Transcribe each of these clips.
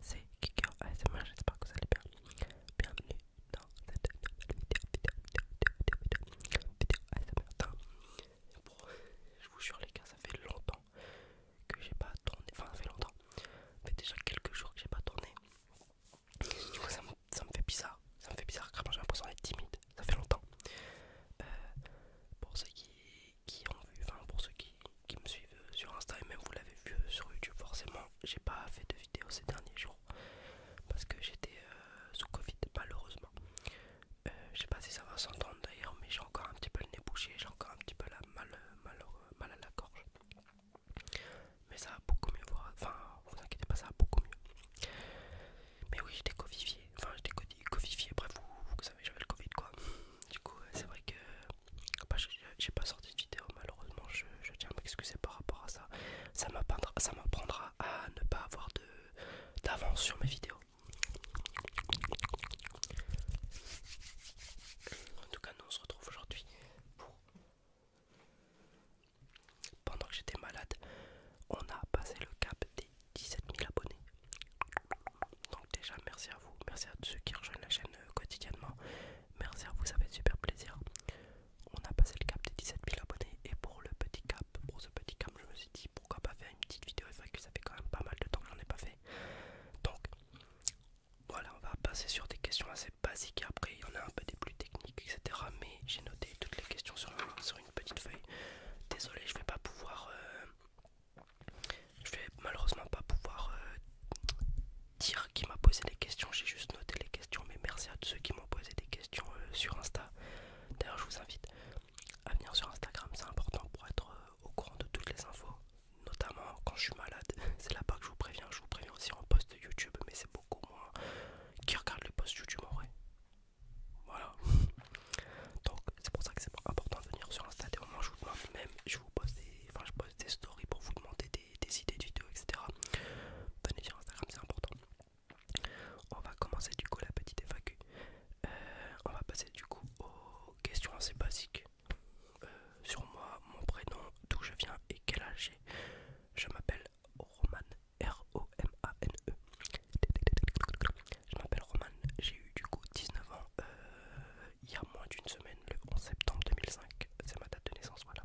c'est c'est ASMR, j'espère que vous allez bien. Bienvenue dans cette vidéo, vidéo, vidéo, vidéo, vidéo, Bon, je vous jure les gars, ça fait longtemps que j'ai pas tourné, enfin ça fait longtemps, ça fait déjà quelques jours que j'ai pas tourné. ça me, fait bizarre, ça me fait bizarre, j'ai l'impression d'être timide, ça fait longtemps. Euh, pour ceux qui, qui ont vu, enfin pour ceux qui qui me suivent euh, sur Insta et même vous l'avez vu euh, sur YouTube forcément j'ai pas fait de vidéo ces derniers jours parce que j'étais euh, sous Covid malheureusement je sais pas si ça va s'entendre d'ailleurs mais j'ai encore un petit peu le nez bouché j'ai encore un petit peu la mal, mal, mal à la gorge mais ça va beaucoup mieux enfin vous inquiétez pas ça va beaucoup mieux mais oui j'étais covifié enfin j'étais covifié bref vous, vous savez j'avais le Covid quoi du coup c'est vrai que bah, j'ai pas sorti de vidéo malheureusement je, je tiens à m'excuser par rapport à ça ça m'apprendra à ne pas avoir d'avance sur mes vidéos en tout cas nous on se retrouve aujourd'hui pour pendant que j'étais malade on a passé le cap des 17 000 abonnés donc déjà merci à vous, merci à ceux qui rejoignent la chaîne euh, quotidiennement, merci à vous, ça fait super plaisir. On a passé le cap des 17 000 abonnés et pour le petit cap, pour ce petit cap je me suis dit pourquoi pas faire une petite vidéo vrai que ça fait quand même pas mal de temps que j'en ai pas fait. Donc voilà, on va passer sur des questions assez basiques et après il y en a un peu des plus techniques, etc. Mais j'ai noté toutes les questions sur, une petite feuille. Désolé, je vais pas pouvoir euh, je vais malheureusement pas pouvoir euh, dire qui m'a posé les questions, j'ai juste noté les questions, mais merci à tous ceux qui m'ont posé des questions euh, sur Insta. D'ailleurs, je vous invite à venir sur Instagram, c'est important pour être euh, au courant de toutes les infos, notamment quand je suis malade. C'est là-bas que je vous préviens. Je vous préviens aussi en post YouTube, mais c'est beaucoup moins qui regarde les posts YouTube en vrai. Voilà. Donc c'est pour ça que c'est important de venir sur Insta. Au moins, je vous même, je vous pose des, enfin, je des stories pour vous demander des, idées de vidéos, etc. Venez sur Instagram, c'est important. On va commencer du coup la petite FAQ. Euh, on va passer du coup aux questions assez basiques. Euh, sur moi, mon prénom, d'où je viens et quel âge j'ai. Je m'appelle Roman, R-O-M-A-N-E. Je m'appelle Roman, j'ai eu du coup 19 ans euh, il y a moins d'une semaine, le 11 septembre 2005, c'est ma date de naissance, voilà.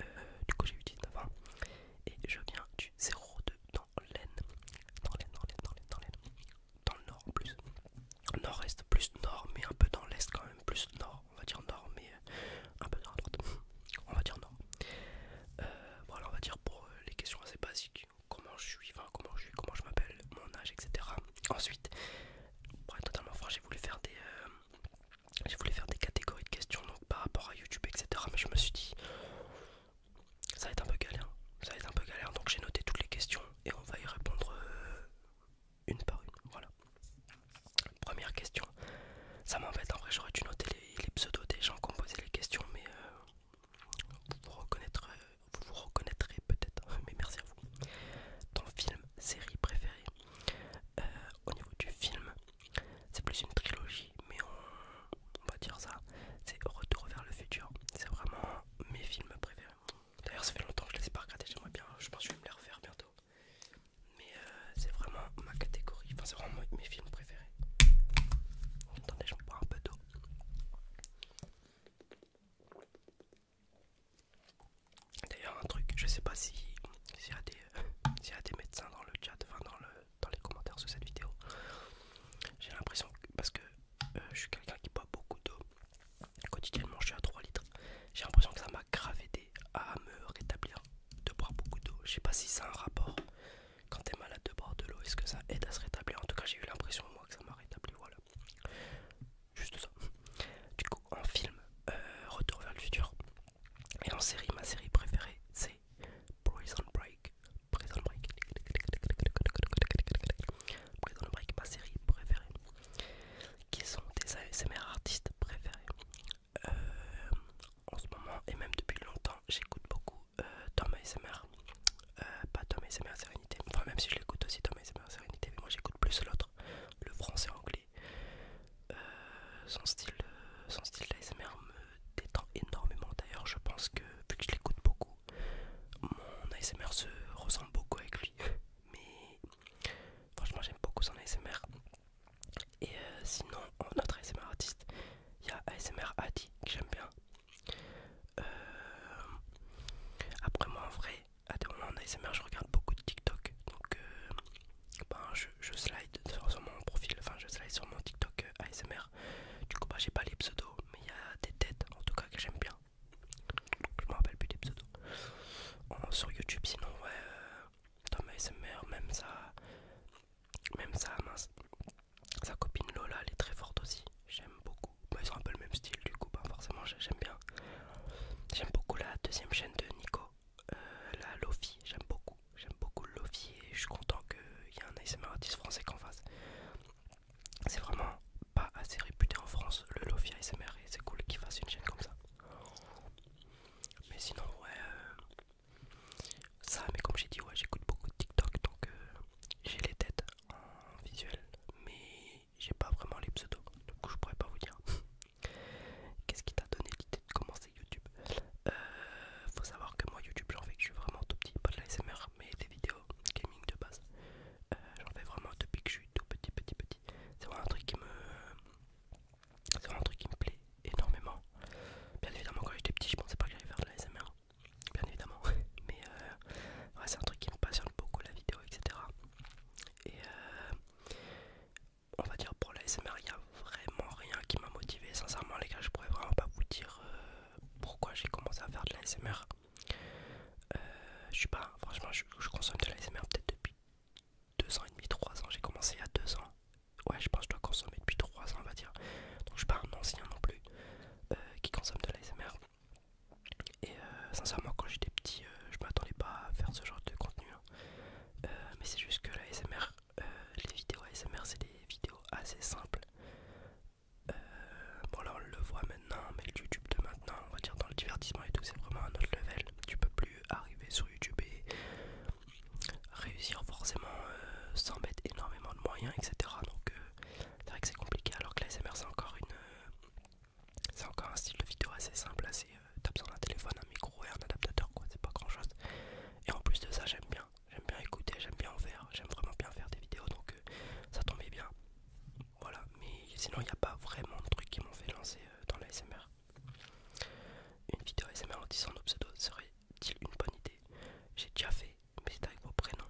Euh, du coup, j'ai eu 19 ans et je viens du 02 dans l'Aisne, dans l'Aisne, dans l'Aisne, dans dans dans le Nord plus, Nord-Est plus Nord, mais un peu dans l'Est quand même, plus Nord, on va dire Nord, mais euh, un peu dans la droite, on va dire Nord. Euh, voilà, on va dire pour les questions assez basiques, comment je suis, comment je suis, comment je m'appelle, mon âge, etc. Ensuite, pour totalement franc, j'ai voulu faire des, euh, j'ai faire des catégories de questions donc par rapport à YouTube, etc. Mais je me suis dit, ça va être un peu galère, ça être un peu galère. Donc j'ai noté toutes les questions et on va y répondre euh, une par une. Voilà. Première question. Ça m'embête en vrai, j'aurais dû noter les, pseudos des gens qui ont posé les questions, mais euh, reconnaître vous reconnaîtrez vous vous reconnaîtrez peut-être, mais merci à vous. Ton film, série préférée euh, Au niveau du film, c'est plus une trilogie, mais on, va dire ça c'est Retour vers le futur. C'est vraiment mes films préférés. D'ailleurs, ça fait longtemps que je les ai pas regardés, j'aimerais bien, je pense que je vais me les refaire bientôt. Mais euh, c'est vraiment ma catégorie, enfin, c'est vraiment mes films préférés. Attendez, je me bois un peu d'eau. D'ailleurs un truc, je sais pas si s'il y, a des médecins dans le chat, enfin dans, le, dans les commentaires sous cette vidéo. J'ai l'impression parce que euh, je suis quelqu'un qui boit beaucoup d'eau. Quotidiennement je suis à 3 litres. J'ai l'impression que ça m'a grave à me rétablir de boire beaucoup d'eau. Je sais pas si ça a un rapport. Quand t'es malade de boire de l'eau, est-ce que ça aide à se rétablir En tout cas j'ai eu l'impression moi que ça m'a rétabli, voilà juste ça. Du coup, en film, euh, Retour vers le futur. Et en série, ma série préférée, c'est Prison Break. Prison Break. ma série préférée. Qui sont des ASMR artistes préférés. Euh, en ce moment, et même depuis longtemps, j'écoute beaucoup euh, Tom ASMR. Euh, pas Tom et Sérénité, enfin même si je l'écoute aussi Tom et Sérénité, mais moi j'écoute plus l'autre, le français anglais. Euh, son style, euh, son style d'ASMR me détend énormément d'ailleurs, je pense que vu que je l'écoute beaucoup, mon ASMR se ressemble beaucoup avec lui, mais franchement j'aime beaucoup son ASMR. Et sinon, notre ASMR artiste, il y a ASMR Adi que j'aime bien, euh, après moi en vrai, à des moments en ASMR je regarde beaucoup de TikTok. Donc euh, ben, je, slide sur, mon profil, enfin je slide sur mon TikTok euh, ASMR. Du coup ben, j'ai pas les pseudos, mais il y a des têtes en tout cas que j'aime bien. Je me rappelle plus des pseudos. sur YouTube sinon ouais, euh, ASMR même ça... Même ça mince. Sa copine Lola, elle est très forte aussi. J'aime beaucoup. Bah, ils ont un peu le même style du coup, bah, forcément j'aime bien. J'aime beaucoup la deuxième chaîne de Nico, euh, la Lofi. J'aime beaucoup. J'aime beaucoup le Lofi et je suis content qu'il y ait un ASMR artiste français qu'on fasse. C'est vraiment pas assez réputé en France le Lofi ASMR et c'est cool qu'il fasse une chaîne comme ça. Mais sinon, ouais, euh, ça, mais comme j'ai dit, ouais, j'écoute beaucoup de TikTok donc euh, j'ai les têtes en visuel, mais j'ai pas vraiment les pseudos, donc je pourrais pas vous dire. Qu'est-ce qui t'a donné l'idée de commencer YouTube euh, Faut savoir que moi YouTube j'en fais que je suis vraiment tout petit, pas de l'ASMR, mais des vidéos gaming de base. Euh, j'en fais vraiment depuis que je suis tout petit, petit, petit. C'est vraiment un truc qui me, c'est vraiment un truc qui me plaît énormément. Bien évidemment quand j'étais petit, je pensais pas que j'allais faire de l'ASMR bien évidemment. Mais euh, c'est un truc qui me passionne beaucoup, la vidéo, etc. Et euh, on va dire pour l'ASMR, il n'y a vraiment rien qui m'a motivé. Sincèrement, les gars, je pourrais vraiment pas vous dire euh, pourquoi j'ai commencé à faire de l'ASMR. je suis pas, franchement, je, consomme de l'ASMR peut-être depuis 2 ans et demi, 3 ans. J'ai commencé il y a 2 ans. Ouais, je pense que je dois consommer depuis 3 ans, on va dire. Donc, je suis pas un ancien non plus qui consomme de l'ASMR. Et euh, sincèrement, quand j'étais petit, euh, je m'attendais pas à faire ce genre de contenu. Hein. Euh, mais c'est juste que la les vidéos ASMR, c'est des vidéos assez simples. bon, là on le voit maintenant, mais le YouTube de maintenant, on va dire dans le divertissement et tout, c'est vraiment un autre level. Tu peux plus arriver sur YouTube et réussir forcément sans mettre énormément de moyens, etc. Donc, c'est vrai que c'est compliqué alors que l'ASMR c'est encore une euh, c'est encore un style de vidéo assez simple, assez tu euh, t'as besoin d'un téléphone, un micro et un adaptateur quoi, c'est pas grand chose. Et en plus de ça j'aime bien, j'aime bien écouter, j'aime bien en faire, j'aime vraiment bien faire des vidéos donc euh, ça tombait bien. Voilà, mais sinon il n'y a pas vraiment de trucs qui m'ont fait lancer dans l'ASMR. Une vidéo ASMR en disant nos pseudos serait-il une bonne idée J'ai déjà fait, mais c'est avec vos prénoms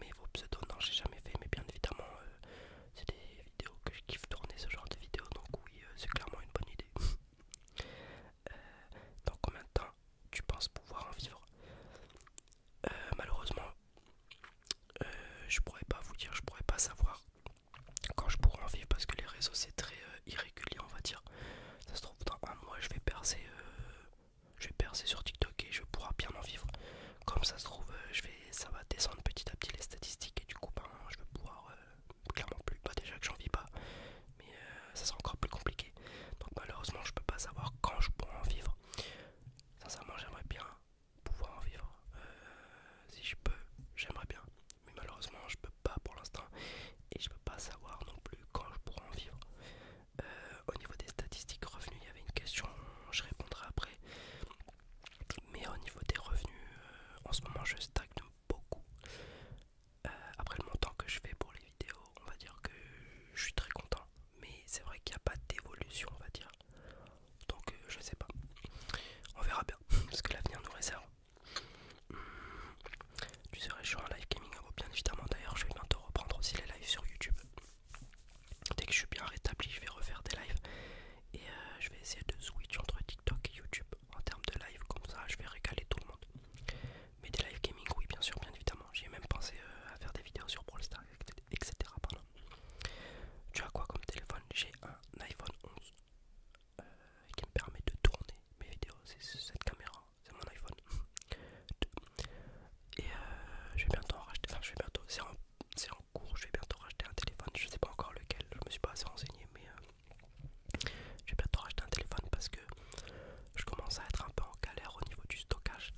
mais vos pseudos, non, j'ai jamais fait, mais bien évidemment, euh, c'est des vidéos que je kiffe tourner ce genre de vidéos, donc oui, euh, c'est clairement une bonne idée. donc euh, dans combien de temps tu penses pouvoir en vivre Malheureusement, je pourrais pas vous dire, je pourrais pas savoir quand je pourrais en vivre parce que les réseaux c'est très irrégulier, on va dire. Ça se trouve, dans un mois, je vais percer je vais percer sur TikTok et je pourrai bien en vivre. Comme ça se trouve, euh, je vais, ça va descendre petit à petit les statistiques et du coup, ben, je vais pouvoir euh, clairement plus. Pas déjà que j'en vis pas, mais euh, ça sera encore plus compliqué. Donc malheureusement, je peux pas savoir quand je pourrai en vivre. Sincèrement, j'aimerais bien pouvoir en vivre. si je peux, j'aimerais bien. Mais malheureusement, je peux pas pour l'instant et je peux pas savoir non plus quand je pourrai en vivre. Euh, au niveau des statistiques revenus, il y avait une question, je répondrai après. Mais au niveau des revenus, euh, en ce moment je stagne beaucoup. Euh, après le montant que je fais pour les vidéos, on va dire que je suis très content. Mais c'est vrai qu'il n'y a pas d'évolution, on va dire. Donc je je sais pas. On verra bien ce que l'avenir nous réserve. Hmm. Tu serais sur un live gaming, ah bien évidemment. D'ailleurs, je vais bientôt reprendre aussi les lives sur YouTube. Dès que je suis bien rétabli, je vais refaire des lives et euh, je vais essayer de switch entre TikTok et YouTube en termes de live. Comme ça, je vais régaler tout le monde. Mais des lives gaming, oui, bien sûr, bien évidemment. J'ai même pensé euh, à faire des vidéos sur Brawl Stars, etc. Tu as quoi comme téléphone J'ai un iPhone 11 euh, qui me permet de tourner mes vidéos. C'est cette caméra c'est mon iPhone 2. Et euh, je vais bientôt racheter, enfin je vais bientôt, c'est en, cours, je vais bientôt racheter un téléphone, je sais pas encore lequel, je me suis pas assez renseigné, mais euh, je vais bientôt racheter un téléphone parce que je commence à être un peu en galère au niveau du stockage.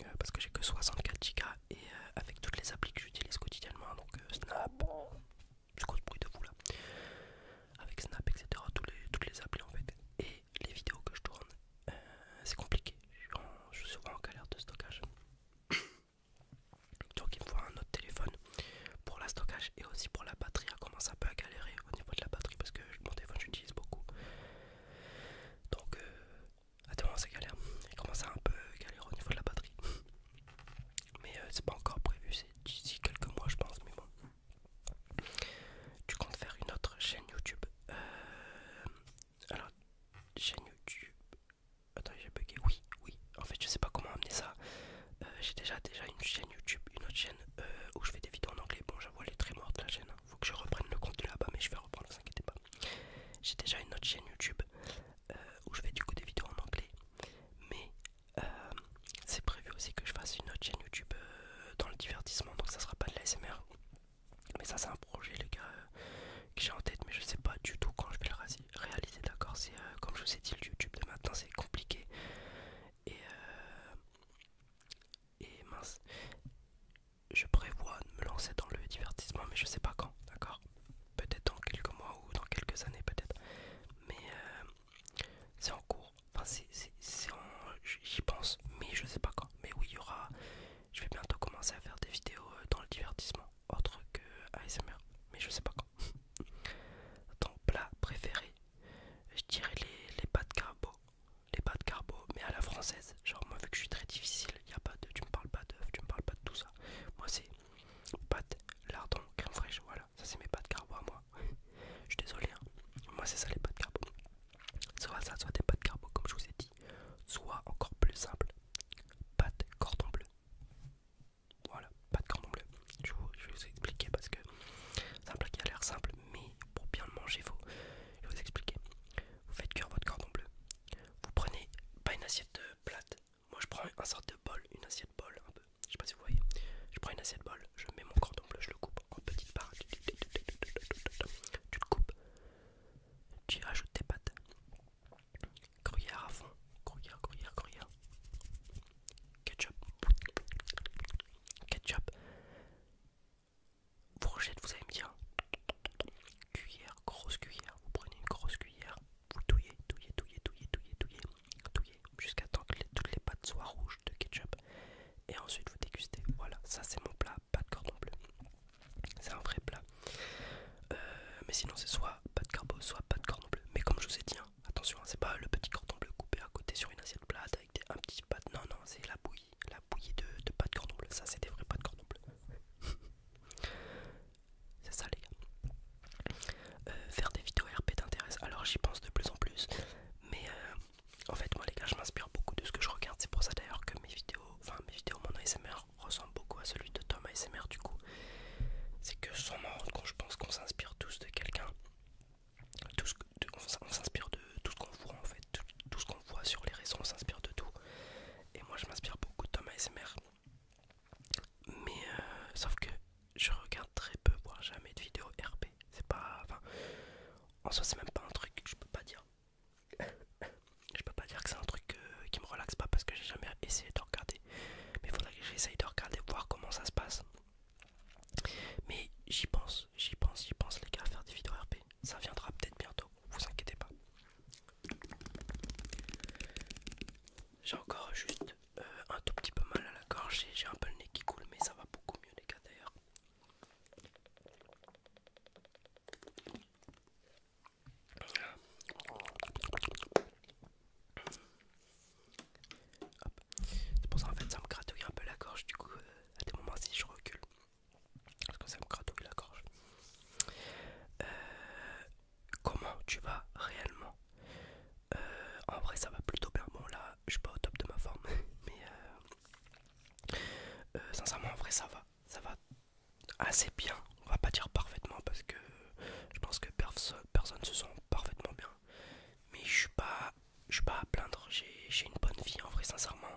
Euh, parce que j'ai que 64Go et avec toutes les applis que j'utilise quotidiennement, donc Snap, c'est bruit de vous là avec Snap, etc. les, toutes les applis en fait. Et les vidéos que je tourne, euh, c'est compliqué. Je, suis souvent en galère de stockage. Donc il me faut un autre téléphone pour la stockage et aussi pour la batterie. Elle commence un peu à galérer au niveau de la batterie parce que mon téléphone j'utilise beaucoup. Donc euh, à galérer. moments ça galère. commence à un peu galérer au niveau de la batterie. Mais euh, c'est pas encore prévu, c'est d'ici quelques mois je pense. Mais bon. Tu comptes faire une autre chaîne YouTube euh, Alors, chaîne YouTube. Attends, j'ai bugué. Oui, oui. En fait, je sais pas comment amener ça. Euh, j'ai déjà, déjà une chaîne YouTube, une autre chaîne euh, où je fais des vidéos en anglais. Bon, j'avoue, elle est très morte la chaîne. il hein, Faut que je reprenne le contenu là-bas, mais je vais reprendre, ne vous inquiétez pas. J'ai déjà une autre chaîne YouTube euh, où je fais du coup des vidéos en anglais. Mais c'est prévu aussi que je fasse une autre chaîne YouTube euh, dans le divertissement, donc ça sera pas de l'ASMR, Mais ça, c'est un projet, les gars, euh, que j'ai en tête, mais je sais pas du tout quand je vais le réaliser, d'accord C'est euh, comme je vous ai dit, le YouTube de maintenant, c'est compliqué. Et, et mince, je prévois de me lancer dans le divertissement, mais je sais pas quand, d'accord Peut-être dans quelques mois ou dans quelques années, peut-être. Mais c'est en cours. Enfin, c'est en. J'y pense, mais je sais pas quand. Mais oui, il y aura. Je vais bientôt commencer à faire des vidéos euh, dans le divertissement, autre que ASMR, mais je sais pas quand. Ton plat préféré Je dirais les, les pâtes carbo. Les pâtes carbo, mais à la française. Genre, moi, vu que je suis très difficile, y a pas de. Tu me parles pas d'œufs, tu me parles pas de tout ça. Moi, c'est pâtes, lardons, crème fraîche, voilà. Ça, c'est mes pâtes carbo à moi. Je suis désolé, hein. moi c'est ça les pâtes carbo. Soit ça, soit des pâtes carbo comme je vous ai dit, soit encore plus simple, pâtes cordon bleu. Voilà, pâtes cordon bleu. Je, vais vous expliquer parce que c'est un plat qui a l'air simple, mais pour bien le manger, faut. Je vais vous expliquer. Vous faites cuire votre cordon bleu. Vous prenez pas une assiette plate. Moi je prends une sorte de bol, une assiette bol un peu. Je pas je prends une assiette bol, je mets mon cordon bleu, je le coupe en petites parts. Tu le coupes, tu rajoutes tes pâtes. Gruyère à fond, gruyère, gruyère, gruyère. Ketchup, ketchup. vous rejettez, vous allez bien, dire. Cuillère, grosse cuillère. Vous prenez une grosse cuillère, vous touillez, touillez, touillez, touillez, touillez, touillez jusqu'à temps que toutes les pâtes soient rouges de ketchup et ensuite vous dégustez. Voilà, ça c'est mon plat, pas de cordon bleu. C'est un vrai plat. Euh, mais sinon c'est soit pas de carbo, soit pas de cordon bleu. Mais comme je vous ai dit, hein, attention, hein, c'est pas le petit cordon bleu coupé à côté sur une assiette plate avec un petit pâte. Non, non, c'est la bouillie, la bouillie de, de pâte cordon bleu. Ça c'est des vrais de cordon bleu. c'est ça les gars. Euh, faire des vidéos RP t'intéresse alors j'y pense de plus en plus mais euh, en fait, moi les gars, je m'inspire beaucoup de ce que je regarde. C'est pour ça d'ailleurs que mes vidéos, enfin mes vidéos, mon ASMR ressemble beaucoup à celui de Tom ASMR du coup. C'est que sans m'en quand je pense qu'on s'inspire tous de quelqu'un. On s'inspire de tout ce qu'on voit en fait, tout, ce qu'on voit sur les réseaux, on s'inspire de tout. Et moi je m'inspire beaucoup de Tom ASMR. Mais euh, sauf que je regarde très peu, voire jamais de vidéos RP. C'est pas. Enfin, en soi, c'est même pas un truc je peux pas dire. je peux pas dire que c'est un truc euh, qui me relaxe pas parce que j'ai jamais essayé de regarder. Mais il faudrait que j'essaye de regarder, voir comment ça se passe. Mais j'y pense, j'y pense, j'y pense, les gars, à faire des vidéos RP. Ça viendra peut-être bientôt, vous inquiétez pas. J'ai encore juste un tout petit peu mal à la gorge j'ai un peu le nez qui coule mais ça va beaucoup mieux les gars d'ailleurs c'est pour ça en fait ça me gratouille un peu la gorge du coup euh, à des moments si je recule parce que ça me gratouille la gorge euh, comment tu vas réellement euh, en vrai, ça va plutôt bien. Bon, là, je suis pas au top de ma forme, mais euh, euh, sincèrement, en vrai, ça va. Ça va assez bien. On va pas dire parfaitement parce que je pense que personne personne se sent parfaitement bien. Mais je suis pas, je suis pas à plaindre. J'ai une bonne vie, en vrai, sincèrement.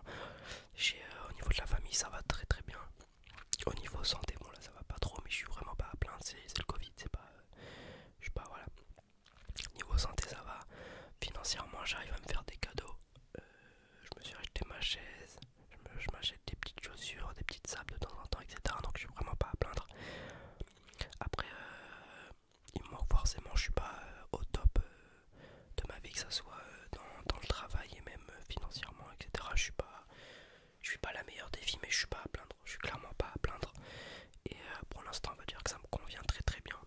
au niveau de la famille, ça va très très bien. Au niveau santé, bon là ça va pas trop, mais je suis vraiment pas à plaindre, c'est le Covid, c'est pas... je sais pas, voilà. Niveau santé, ça va. Financièrement, j'arrive à me faire des cadeaux. Euh, je me suis acheté ma chaise, je m'achète des petites chaussures, des petites sables de temps en temps, etc. Donc, je suis vraiment pas à plaindre. Après, euh, il me manque forcément, je suis pas euh, au top de ma vie, que ça soit dans, le travail et même financièrement, etc. Je suis pas, je suis pas la meilleure des filles, mais je suis pas à plaindre je suis clairement pas à plaindre. Et euh, pour l'instant, on va dire que ça me convient très très bien.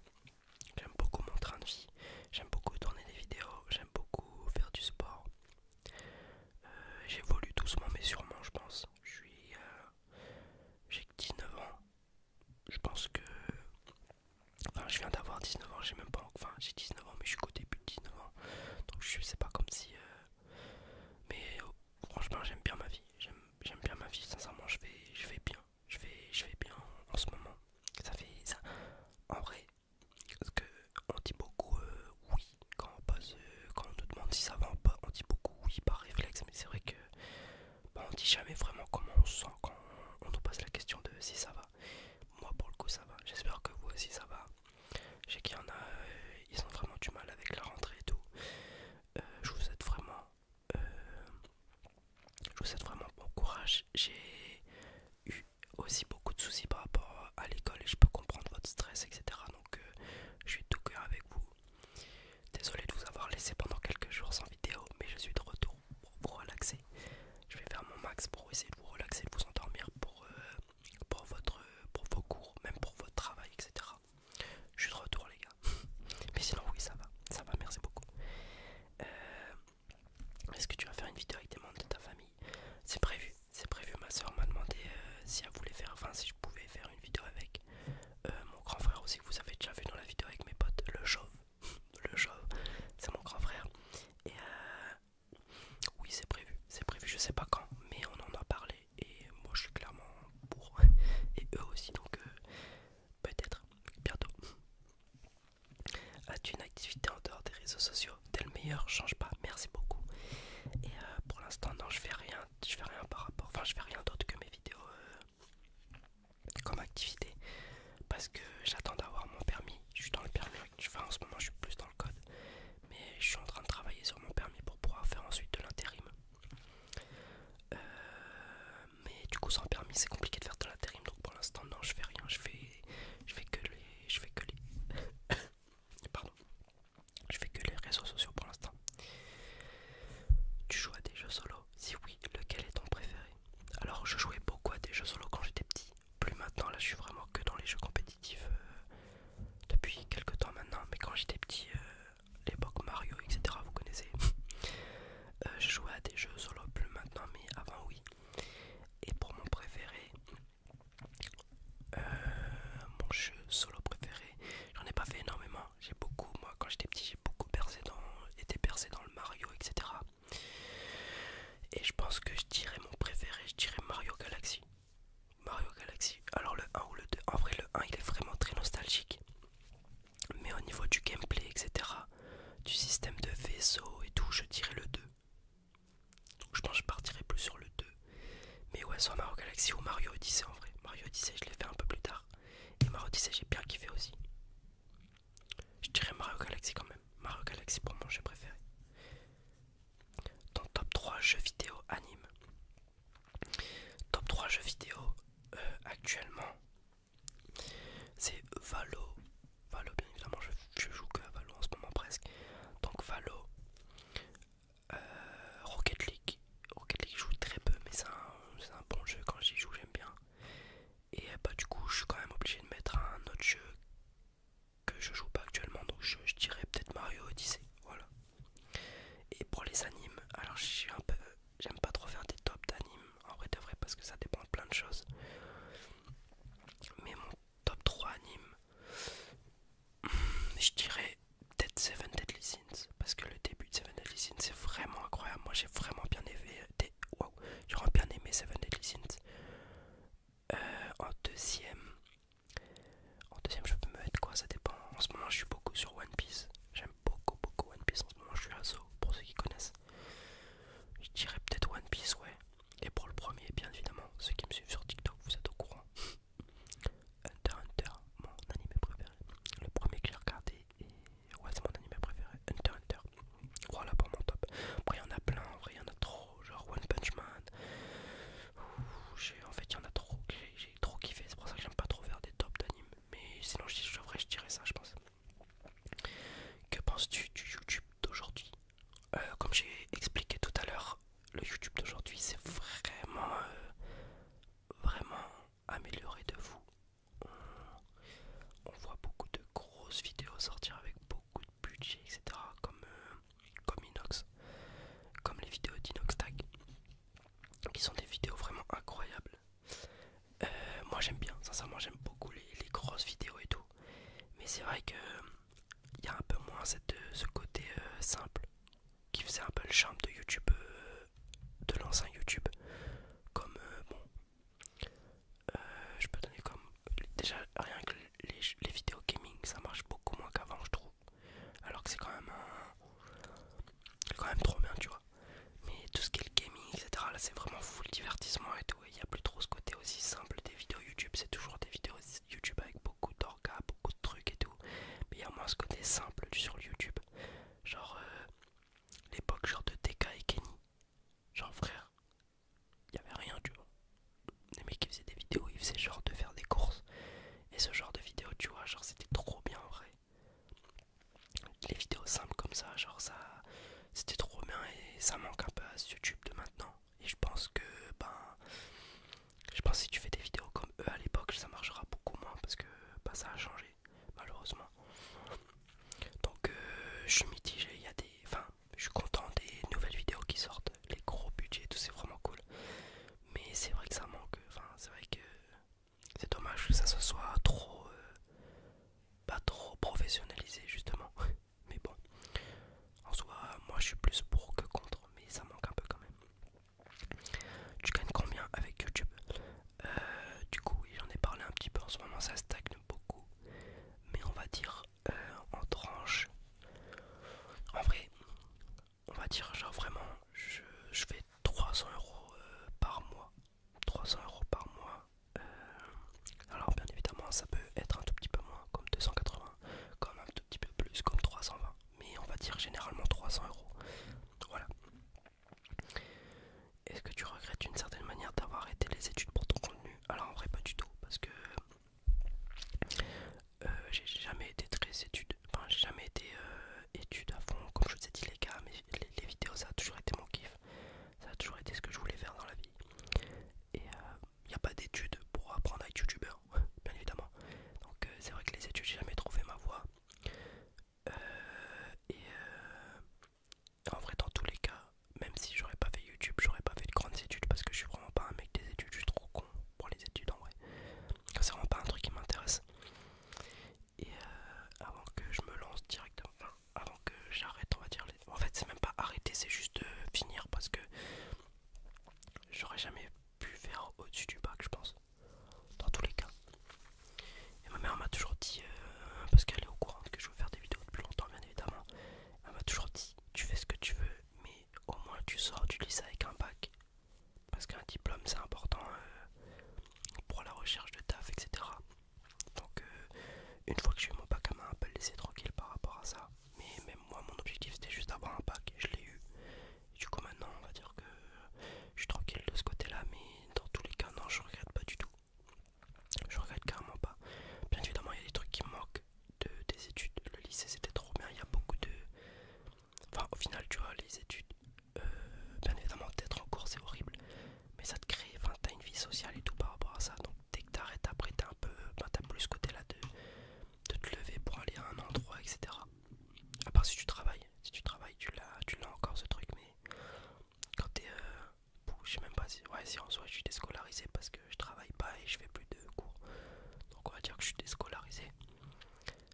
J'aime beaucoup mon train de vie, j'aime beaucoup tourner des vidéos, j'aime beaucoup faire du sport. Euh, j'évolue doucement mais sûrement, je pense. Je suis. Euh, j'ai 19 ans. Je pense que. Enfin, je viens d'avoir 19 ans, j'ai même pas. Enfin, j'ai 19 ans, mais je suis qu'au début de 19 ans. Donc, je sais pas comme si. mais franchement j'aime bien ma vie, j'aime bien ma vie, sincèrement je vais, je vais bien, je vais, je vais bien en ce moment. Ça fait ça. En vrai, parce que on dit beaucoup euh, oui quand on passe, euh, quand on nous demande si ça va pas, on dit beaucoup oui par réflexe, mais c'est vrai que bah, on dit jamais vraiment comment on se sent quand on nous pose la question de si ça va. Moi pour le coup ça va, j'espère que vous aussi ça va. J'ai qu'il y en a, euh, ils ont vraiment du mal avec la rentrée et tout. je vous souhaite vraiment euh, je vous souhaite vraiment bon courage. J'ai eu aussi beaucoup de soucis par rapport à l'école et je peux comprendre votre stress, etc. Donc euh, je suis tout cœur avec vous. Désolé de vous avoir laissé pendant quelques jours sans vidéo, mais je suis de retour pour vous relaxer. Je vais faire mon max pour essayer de vous relaxer, vous endormir pour, euh, pour, votre, pour vos cours, même pour votre travail, etc. Je suis de retour, les gars. Mais sinon, oui, ça va. Ça va, merci beaucoup. Euh, est-ce que tu vas faire une vidéo avec des membres de ta famille C'est prévu. C'est prévu. Ma soeur m'a demandé euh, si elle voulait faire, enfin, si je pouvais faire une vidéo avec euh, mon grand frère aussi. Que vous avez déjà vu dans la vidéo avec mes potes, le chauve. le chauve, c'est mon grand frère. Et oui, c'est prévu. C'est prévu. Je sais pas quand, mais on en a parlé et moi je suis clairement pour et eux aussi donc euh, peut-être bientôt as-tu une activité en dehors des réseaux sociaux t'es le meilleur change pas merci beaucoup et euh, pour l'instant non je fais rien je fais rien par rapport enfin je fais rien d'autre que mes vidéos euh, comme activité parce que j'attends d'avoir mon permis je suis dans le permis en ce moment je suis plus dans le code mais je suis en train de travailler sur mon permis pour pouvoir faire ensuite de l'intérim euh, mais du coup sans permis c'est compliqué de faire de l'intérim donc pour l'instant non je fais rien je fais je fais que les je fais que les pardon je fais que les réseaux sociaux pour l'instant tu joues à des jeux solo si oui lequel est ton préféré alors je jouais beaucoup à des jeux solo quand j'étais petit plus maintenant là je suis vraiment que dans les jeux compétitifs euh, depuis quelques temps maintenant mais quand j'étais petit euh, l'époque Mario, etc. Vous connaissez. Euh, je jouais à des jeux solo plus maintenant, mais avant oui. Et pour mon préféré, euh, mon jeu solo préféré, j'en ai pas fait énormément. J'ai beaucoup, moi, quand j'étais petit, j'ai beaucoup dans, été percé dans le Mario, etc. Et je pense que je dirais mon préféré, je dirais Mario Galaxy. Mario Galaxy. Alors le 1 ou le 2. En vrai le 1 il est vraiment très nostalgique. Mais au niveau du gameplay, etc. Du système de vaisseau et tout, je dirais le 2. Donc je pense que je partirai plus sur le 2. Mais ouais, soit Mario Galaxy ou Mario Odyssey en vrai. Mario Odyssey je l'ai fait un peu plus tard. Et Mario Odyssey j'ai bien kiffé aussi. Je dirais Mario Galaxy quand même. Mario Galaxy pour moi j'ai préféré. Dans top 3 jeux vidéo anime. Top 3 jeux vidéo euh, actuellement c'est Valo. Valo, bien évidemment, je, joue que à Valo en ce moment presque. Donc Valo, euh, Rocket League. Rocket League, je joue très peu, mais c'est un, bon jeu. Quand j'y joue, j'aime bien. Et euh, bah, du coup, je suis quand même obligé de mettre un autre jeu que je joue pas actuellement. Donc, je dirais peut-être Mario Odyssey. Voilà. Et pour les animes, alors je suis un peu. J'aime pas trop faire des tops d'animes en vrai de vrai parce que ça dépend de plein de choses. Mais mon top 3 anime, hmm, je dirais peut-être Seven Deadly Sins parce que le début de Seven Deadly Sins c'est vraiment incroyable. Moi j'ai vraiment bien aimé. Euh, bien aimé Seven Deadly Sins. Euh, en deuxième, en deuxième, je peux me mettre quoi Ça dépend. En ce moment, je suis beaucoup sur One Piece. J'aime beaucoup, beaucoup One Piece. En ce moment, je suis asso, pour ceux qui connaissent. Je dirais peut-être One Piece, ouais. Et pour le premier, bien évidemment, ceux qui me suivent sur TikTok, vous êtes au courant. Hunter Hunter, mon anime préféré. Le premier que j'ai regardé, et ouais, c'est mon anime préféré. Hunter Hunter. Voilà pour mon top. Après, il y en a plein, en vrai, il y en a trop. Genre One Punch Man. en fait, il y en a trop j'ai trop kiffé, c'est pour ça que j'aime pas trop faire des tops d'anime. Mais sinon, je je dirais ça, je pense. Que penses-tu du YouTube d'aujourd'hui euh, Comme j'ai expliqué tout à l'heure, le YouTube d'aujourd'hui c'est vraiment, euh, vraiment amélioré de vous. On, voit beaucoup de grosses vidéos sortir avec beaucoup de budget, etc. Comme euh, comme Inox, comme les vidéos d'Inox Tag, qui sont des vidéos vraiment incroyables. Euh, moi j'aime bien, sincèrement j'aime beaucoup les, grosses vidéos et tout, mais c'est vrai que il y a un peu moins ce côté euh, simple qui faisait un peu le charme de YouTube, euh, de l'ancien YouTube, comme bon. je peux donner comme déjà rien que les vidéos gaming ça marche beaucoup moins qu'avant je trouve alors que c'est quand même quand même trop bien tu vois mais tout ce qui est le gaming etc là c'est vraiment full divertissement et tout il n'y a plus trop ce côté aussi simple des vidéos youtube c'est toujours des vidéos youtube avec beaucoup d'orgas beaucoup de trucs et tout mais il y a moins ce côté simple sur youtube genre euh, l'époque genre de TK et Kenny genre frère il n'y avait rien tu vois les mecs qui faisaient des vidéos, ils faisaient genre de faire des courses. Et ce genre de vidéos, tu vois, genre c'était trop bien en vrai. Les vidéos simples comme ça, genre ça, c'était trop bien et ça manque un peu à ce YouTube de maintenant. Et je pense que, ben, je pense que si tu fais des vidéos comme eux à l'époque, ça marchera beaucoup moins parce que ben, ça a changé, malheureusement. Donc, euh, je suis mitigé, il y a des. Enfin, je suis content des nouvelles vidéos qui sortent, les gros budgets, tout c'est vraiment cool mais c'est vrai que ça manque enfin c'est vrai que c'est dommage que ça se soit trop euh, pas trop professionnalisé justement mais bon en soit, moi je suis plus pour que contre mais ça manque un peu quand même tu gagnes combien avec youtube euh, du coup j'en ai parlé un petit peu en ce moment ça stagne beaucoup mais on va dire euh, en tranche en vrai on va dire genre vraiment je, fais 300 euh, euros par mois 300 euros par mois alors bien évidemment ça peut être un tout petit peu moins comme 280 comme un tout petit peu plus comme 320 mais on va dire généralement 300 euros voilà est-ce que tu regrettes d'une certaine manière d'avoir arrêté les études pour ton contenu alors en vrai pas du tout parce que euh, j'ai jamais été très étude, enfin j'ai jamais été euh, études à fond, comme je vous ai dit les gars, mais les, vidéos ça a toujours été mon kiff, ça a toujours été ce que je voulais faire dans la vie. Et il euh, n'y a pas d'études pour apprendre à être youtubeur, bien évidemment. Donc c'est vrai que les études j'ai jamais trouvé ma voix et en vrai dans tous les cas, même si j'aurais pas fait YouTube, j'aurais pas fait de grandes études parce que je suis vraiment pas un mec des études, je suis trop pour les études en vrai. C'est vraiment pas un truc qui m'intéresse. Et euh, avant que je me lance directement, enfin, avant que j'arrête, on va dire. En fait, c'est même pas arrêter, c'est juste euh, finir parce que j'aurais jamais pu faire au-dessus du bac, je pense. Dans tous les cas. Et ma mère m'a toujours dit, euh, parce qu'elle est au courant que je veux faire des vidéos depuis longtemps, bien évidemment, elle m'a toujours dit tu fais ce que tu veux, mais au moins tu sors du lycée avec un bac. Parce qu'un diplôme c'est important euh, pour la recherche de taf, etc. Donc euh, une fois que j'ai eu mon bac, à m'a un peu laissé tranquille par rapport à ça. Mais même moi, mon objectif c'était juste d'avoir un bac, et je l'ai eu. du coup maintenant, on va dire que je suis tranquille de ce côté-là, mais dans tous les cas, non, je regrette pas du tout. Je regrette carrément pas. Bien évidemment, il y a des trucs qui me manquent de, des études. Le lycée c'était trop bien, il y a beaucoup de... Enfin au final tu vois les études, euh, bien évidemment d'être en cours c'est horrible, mais ça te crée, enfin t'as une vie sociale et tout par rapport à ça. Donc dès que t'arrêtes après t'es un peu... Ben, t'as plus ce côté là de, te lever pour aller à un endroit, etc. À part si tu travailles, si tu travailles tu l'as encore ce truc, mais quand t'es... Euh, je sais même pas si... Ouais si en soi je suis déscolarisé parce que je travaille pas et je fais plus de cours. Donc on va dire que je suis déscolarisé.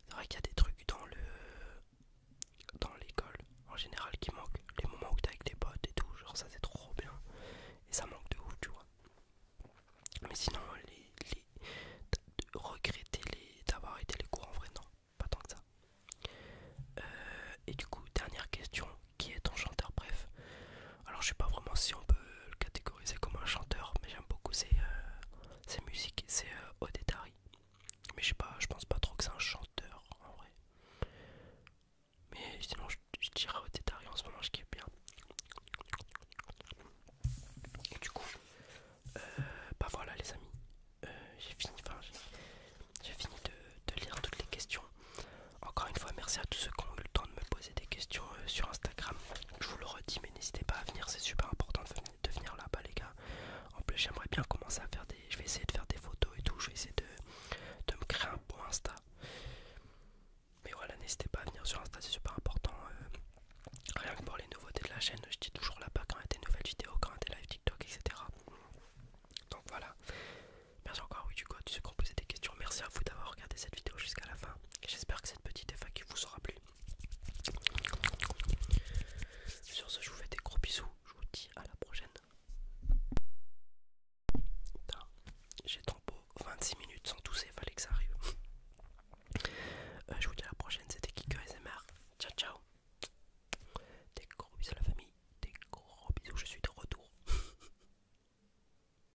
C'est vrai qu'il y a des trucs dans le dans l'école en général qui manquent. Les moments où t'es avec tes potes et tout, genre ça c'est trop bien. Et ça manque de ouf, tu vois. Mais sinon, les, les, regretter les, d'avoir été les cours en vrai, non, pas tant que ça. Euh, et du coup, dernière question, qui est ton chanteur Bref, alors je sais pas vraiment si on peut le catégoriser comme un chanteur, mais j'aime beaucoup ses, euh, ses musiques, c'est euh, Odetari. Mais je sais pas, je pense pas trop que c'est un chanteur en vrai. Mais sinon je, dirais Odetari en ce moment, je kiffe bien. du coup, euh, bah voilà les amis, j'ai fini, de lire toutes les questions. Encore une fois, merci à tous ceux qui ont eu le temps de me poser des questions euh, sur Instagram. Je vous le redis, mais n'hésitez pas à venir, c'est super important de, venir, là-bas, les gars. En plus, j'aimerais bien commencer à faire des. Je vais essayer de faire des photos et tout, je vais essayer de, de me créer un bon Insta. Mais voilà, n'hésitez pas à venir sur Insta, c'est super important. Euh, rien que pour les nouveautés de la chaîne, je dis toujours là-bas quand il y a des nouvelles vidéos, quand il y a des live TikTok, etc. Donc voilà. Merci encore, oui, du coup, tu sais qu'on posait des questions. Merci à vous d'avoir regardé cette vidéo jusqu'à la fin. J'espère que cette petite FAQ vous aura plu. Sur ce, je vous fais des gros bisous. Je vous dis à la prochaine. J'ai trop beau 26 minutes sans tousser, fallait que ça arrive. Euh, je vous dis à la prochaine, c'était Kiko SMR. Ciao ciao. Des gros bisous à la famille, des gros bisous, je suis de retour.